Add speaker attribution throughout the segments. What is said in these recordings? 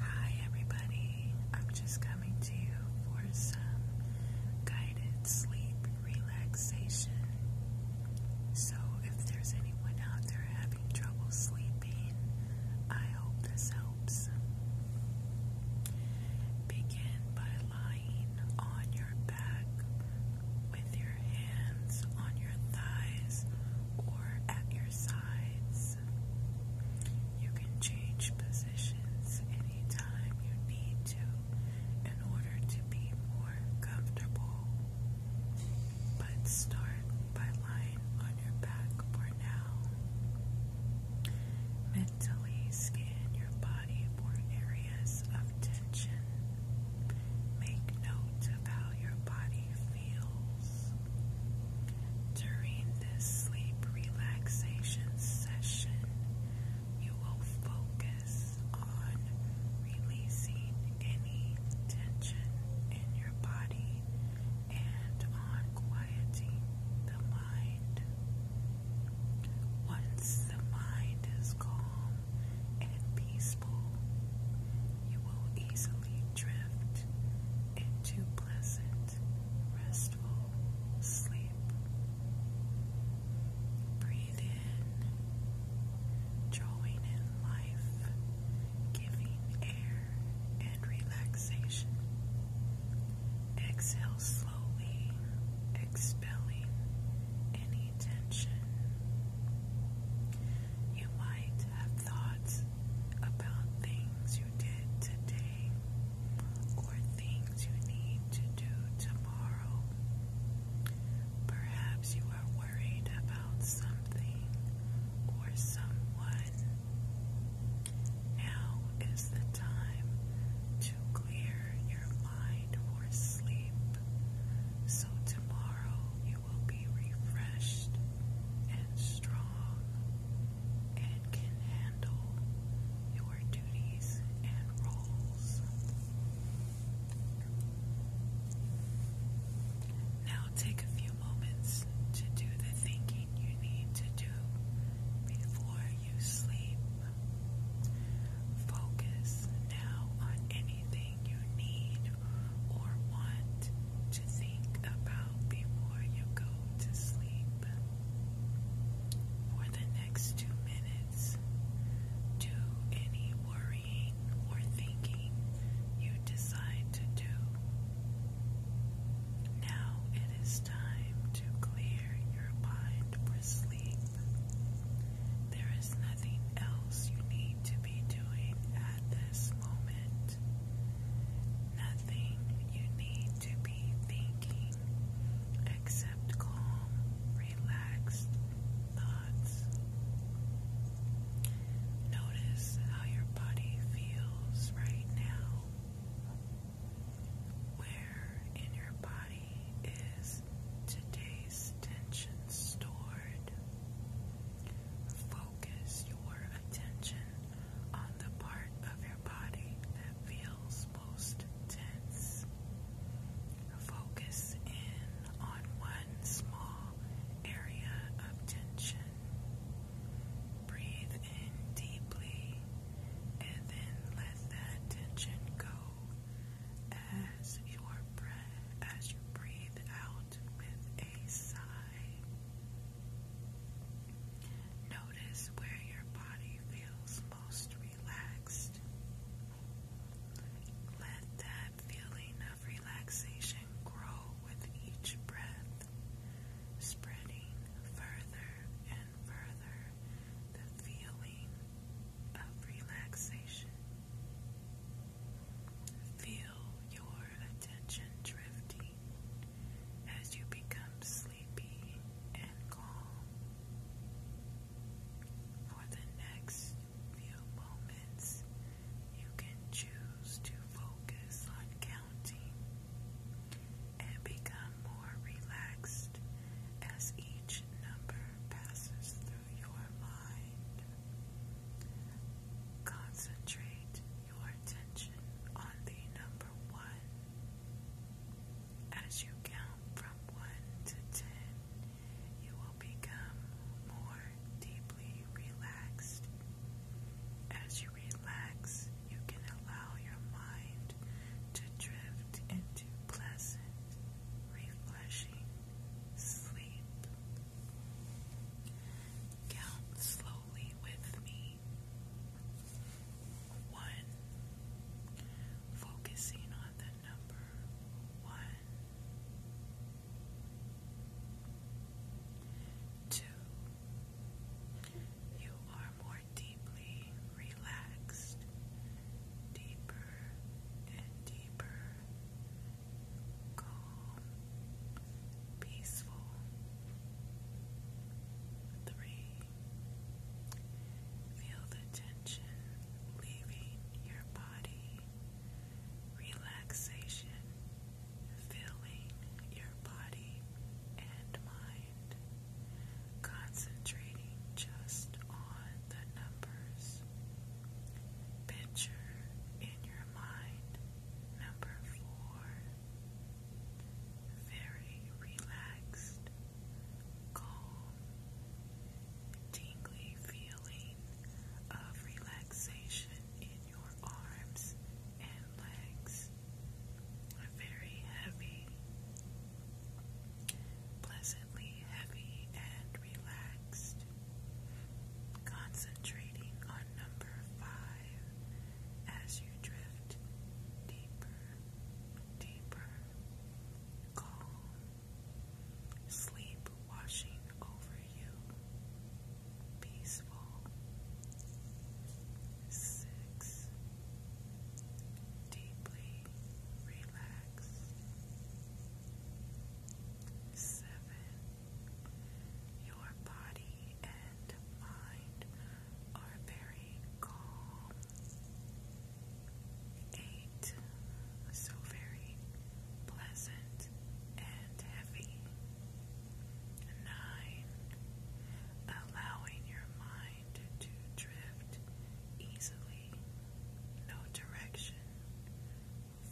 Speaker 1: Hi, everybody. I'm just coming to you for some guided sleep relaxation. So, if there's anyone out there having trouble sleeping, I hope this helps. Begin by lying on your back with your hands on your thighs or at your sides. You can change positions any time you need to in order to be more comfortable. But start by lying on your back for now. Mentally scan your body for areas of tension Make note of how your body feels during this sleep relaxation session. You will focus on releasing any tension in your body and on quieting the mind. Once the mind is calm and peaceful, you will easily drift into pleasant, restful sleep. Breathe in, drawing in life, giving air and relaxation. Exhale slowly, expelling any any You might have thoughts about things you did today or things you need to do tomorrow. Perhaps you are worried about something or someone. Now is the time to clear your mind for sleep, so tomorrow you will be refreshed and strong and can handle your duties and roles. Now take a few moments to do the thinking you need to do before you sleep. Focus now on anything you need or want to think about before you go to sleep. For the next two minutes, do any worrying or thinking you decide to do. Now it is time to clear your mind for sleep. There is nothing else you need to be doing at this moment. Nothing you need to be thinking except calm, relaxed thoughts. Notice how your body feels right now. Where in your body is today's tension stored? Focus your attention on the part of your body that feels most tense. Focus in on one small area of tension. Breathe in deeply and then let that tension go as your breath as you breathe out with a sigh. Notice where your body feels most relaxed. Let that feeling of relaxation grow with each breath, spreading further and further the feeling of relaxation. Feel your attention drifting as you become sleepy and calm. For the next few moments, you can choose to focus on counting and become more relaxed as each number passes through your mind. Concentrate your attention on the number one. As you count from one to ten, you will become more deeply relaxed. As you relax, you can allow your mind to drift into pleasant, refreshing sleep. Count slowly with me. One, focusing on the number one. Two, you are more deeply relaxed, deeper and deeper, calm, peaceful. Three, feel the tension leaving your body, relaxation filling your body and mind concentrating just on the numbers. Picture in your mind number four. Very relaxed, calm, tingly feeling of relaxation in your arms and legs. Very heavy, pleasantly heavy and relaxed, concentrating on number five as you drift deeper, deeper, calm, sleep washing over you, peaceful six, deeply relaxed, seven, your body and mind are very calm, eight, so very pleasant and heavy. Nine, allowing your mind inclined to drift easily, no direction,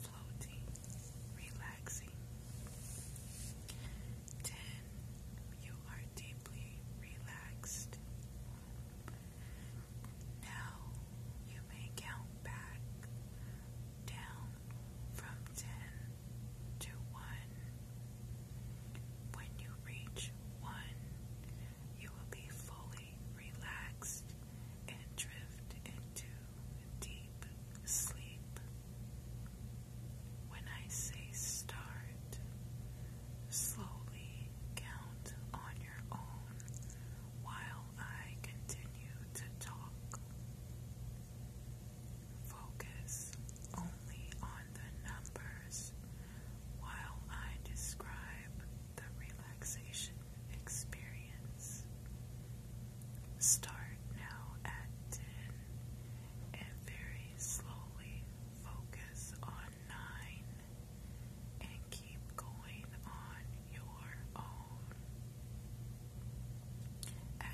Speaker 1: floating, relaxing. 10. You are deeply relaxed. Now you may count back down from 10 to 1. When you reach one, you will be fully relaxed and drift into deep sleep. When I say start, slowly count on your own while I continue to talk. Focus only on the numbers while I describe the relaxation experience. Start now at 10 and very slowly focus on 9 and keep going on your own.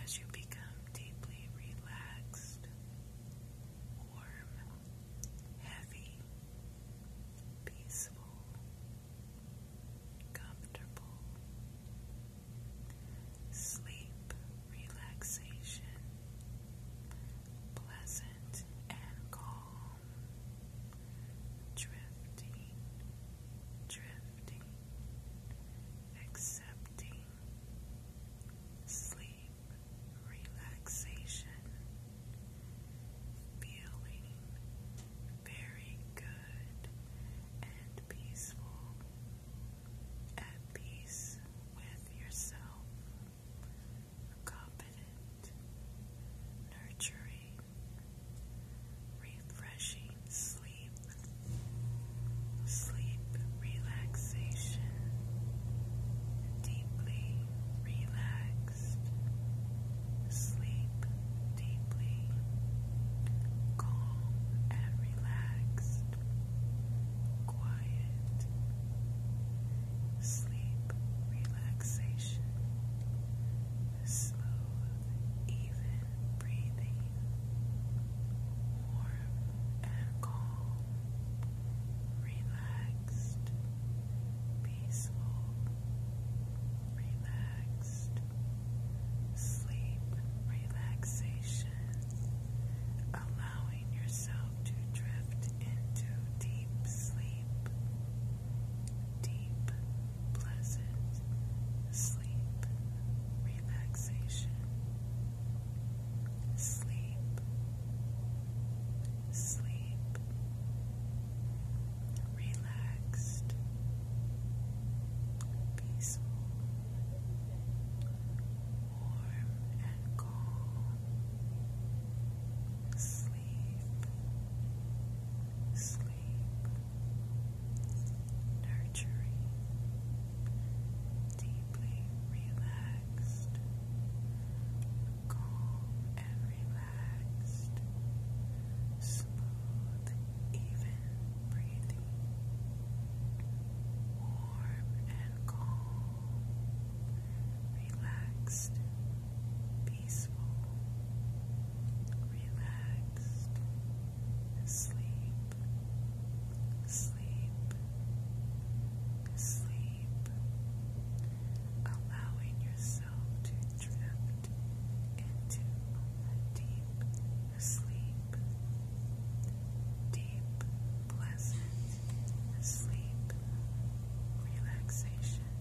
Speaker 1: As you become deeply relaxed, warm, heavy, peaceful, comfortable. Sleep, relaxation, pleasant and calm, drifting, drifting, accepting, sleep, relaxation, feeling very good and peaceful, at peace with yourself, confident, nurturing, refreshing sleep sleep relaxation, deeply relaxed, sleep deeply, calm and relaxed, quiet, sleep relaxation, smooth, even breathing warm and calm, relaxed, peaceful, relaxed, sleep, relaxation, allowing yourself to drift into deep sleep, deep, pleasant sleep, Relaxation, Sleep. Sleep. Relaxed. Peaceful. Warm and calm. Sleep. Sleep. Nurturing deeply relaxed, calm and relaxed, smooth, even breathing, warm and calm, relaxed, peaceful, relaxed, sleep sleep, sleep, allowing yourself to drift into deep sleep, deep, pleasant sleep, relaxation.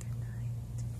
Speaker 1: Good night.